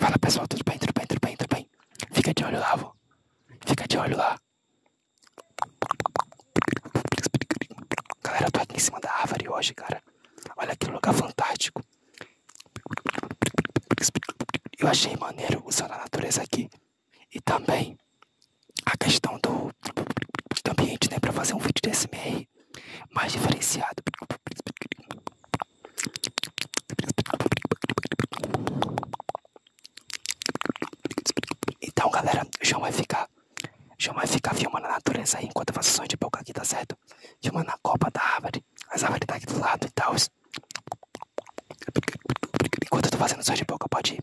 Fala pessoal, tudo bem, tudo bem, tudo bem, tudo bem? Fica de olho lá, vô. Fica de olho lá. Galera, eu tô aqui em cima da árvore hoje, cara. Olha que lugar fantástico. Eu achei maneiro usar a natureza aqui. E também a questão do, ambiente, né? Para fazer um vídeo de SMR mais diferenciado. Então, galera, o João vai ficar. O vai ficar filmando a natureza aí enquanto eu faço de boca aqui, tá certo? Filmando a copa da árvore, as árvores daqui do lado e tal. Enquanto eu tô fazendo som de boca, pode ir.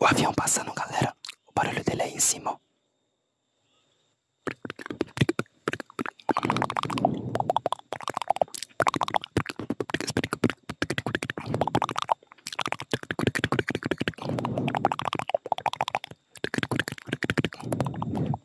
O avião passando, galera. O barulho dele é aí em cima.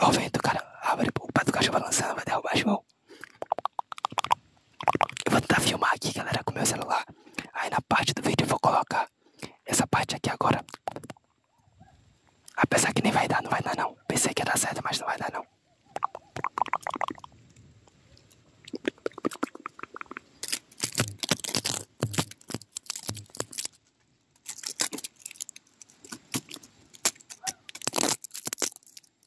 Ó, oh, vento, cara. Abre o pato do cachorro balançando, vai derrubar, João. Eu vou tentar filmar aqui, galera, com meu celular. Aí na parte do vídeo eu vou colocar essa parte aqui agora. Apesar que nem vai dar, não vai dar não. Pensei que ia dar certo, mas não vai dar não.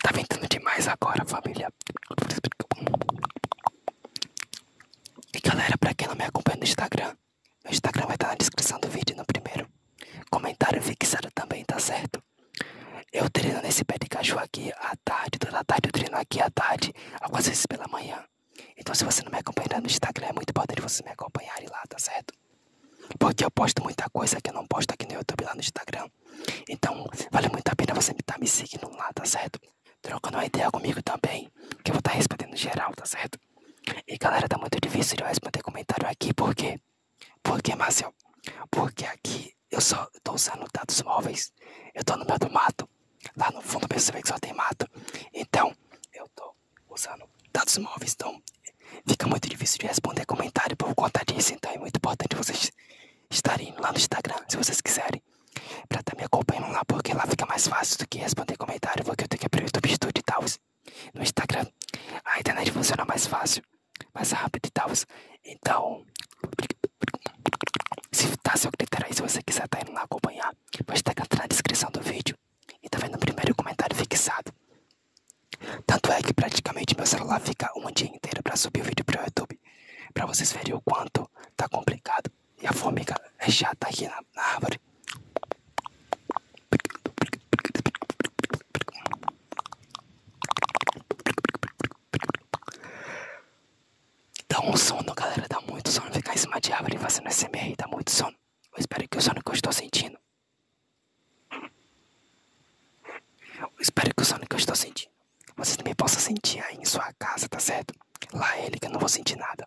Tá ventando demais agora, família. E galera, pra quem não me acompanha no Instagram, meu Instagram vai estar na descrição do vídeo no primeiro. Comentário fixado também, tá certo? Eu treino nesse pé de cachorro aqui à tarde, toda a tarde eu treino aqui à tarde, algumas vezes pela manhã. Então se você não me acompanhar no Instagram, é muito importante você me acompanhar lá, tá certo? Porque eu posto muita coisa que eu não posto aqui no YouTube, lá no Instagram. Então, vale muito a pena você estar tá me seguindo lá, tá certo? Trocando uma ideia comigo também, que eu vou estar tá respondendo geral, tá certo? E galera, tá muito difícil de responder comentário aqui, por quê? Por quê, Marcel? Porque aqui eu só tô usando dados móveis. Eu tô no meio do mato. Lá no fundo percebe que só tem mato. Então, eu tô usando dados móveis. Então, fica muito difícil de responder comentário por conta disso. Então, é muito importante vocês estarem lá no Instagram, se vocês quiserem. Pra estar tá me acompanhando lá, porque lá fica mais fácil do que responder comentário, porque eu tenho que abrir o YouTube Studio e tal. No Instagram, a internet funciona mais fácil, mais rápido e tal. Então, se tá seu critério aí, se você quiser estar tá indo lá acompanhar, vou estar tá na descrição do vídeo e tá vendo o primeiro comentário fixado. Tanto é que praticamente meu celular fica um dia inteiro para subir o vídeo pro YouTube, para vocês verem o quanto tá complicado. E a formiga é chata aqui na, na árvore. Dá um sono, galera. Dá muito sono ficar em cima de árvore fazendo é SMR. Dá muito sono. Eu espero que o sono que eu estou sentindo. Eu espero que o sono que eu estou sentindo você também possa sentir aí em sua casa, tá certo? Lá ele que eu não vou sentir nada.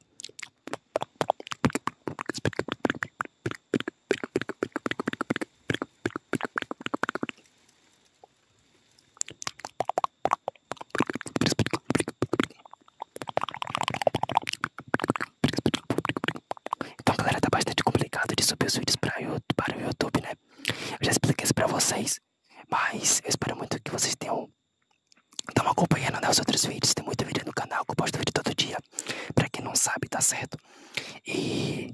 Então galera, tá bastante complicado de subir os vídeos para o YouTube, né? Eu já expliquei isso pra vocês mas eu espero muito que vocês tenham estão acompanhando né, os outros vídeos. Tem muito vídeo no canal que eu posto vídeo todo dia. Pra quem não sabe, tá certo? E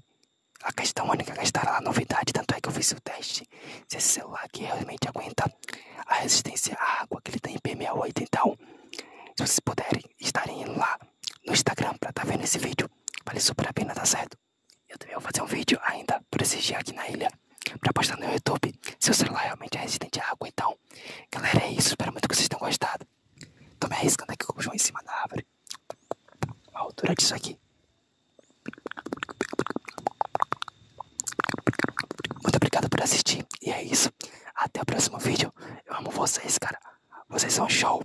a questão única que é estará lá novidade. Tanto é que eu fiz o teste. Se esse celular aqui realmente aguenta a resistência à água que ele tem IP68. Então, se vocês puderem, estarem lá no Instagram pra estar tá vendo esse vídeo. Vale super a pena, tá certo? Eu também vou fazer um vídeo ainda por esse dia aqui na ilha pra postar no YouTube. Seu celular realmente é resistente à água, então. Galera, é isso. Espero muito que vocês tenham gostado. Tô me arriscando aqui com o João em cima da árvore. A altura disso aqui. Muito obrigado por assistir. E é isso. Até o próximo vídeo. Eu amo vocês, cara. Vocês são show.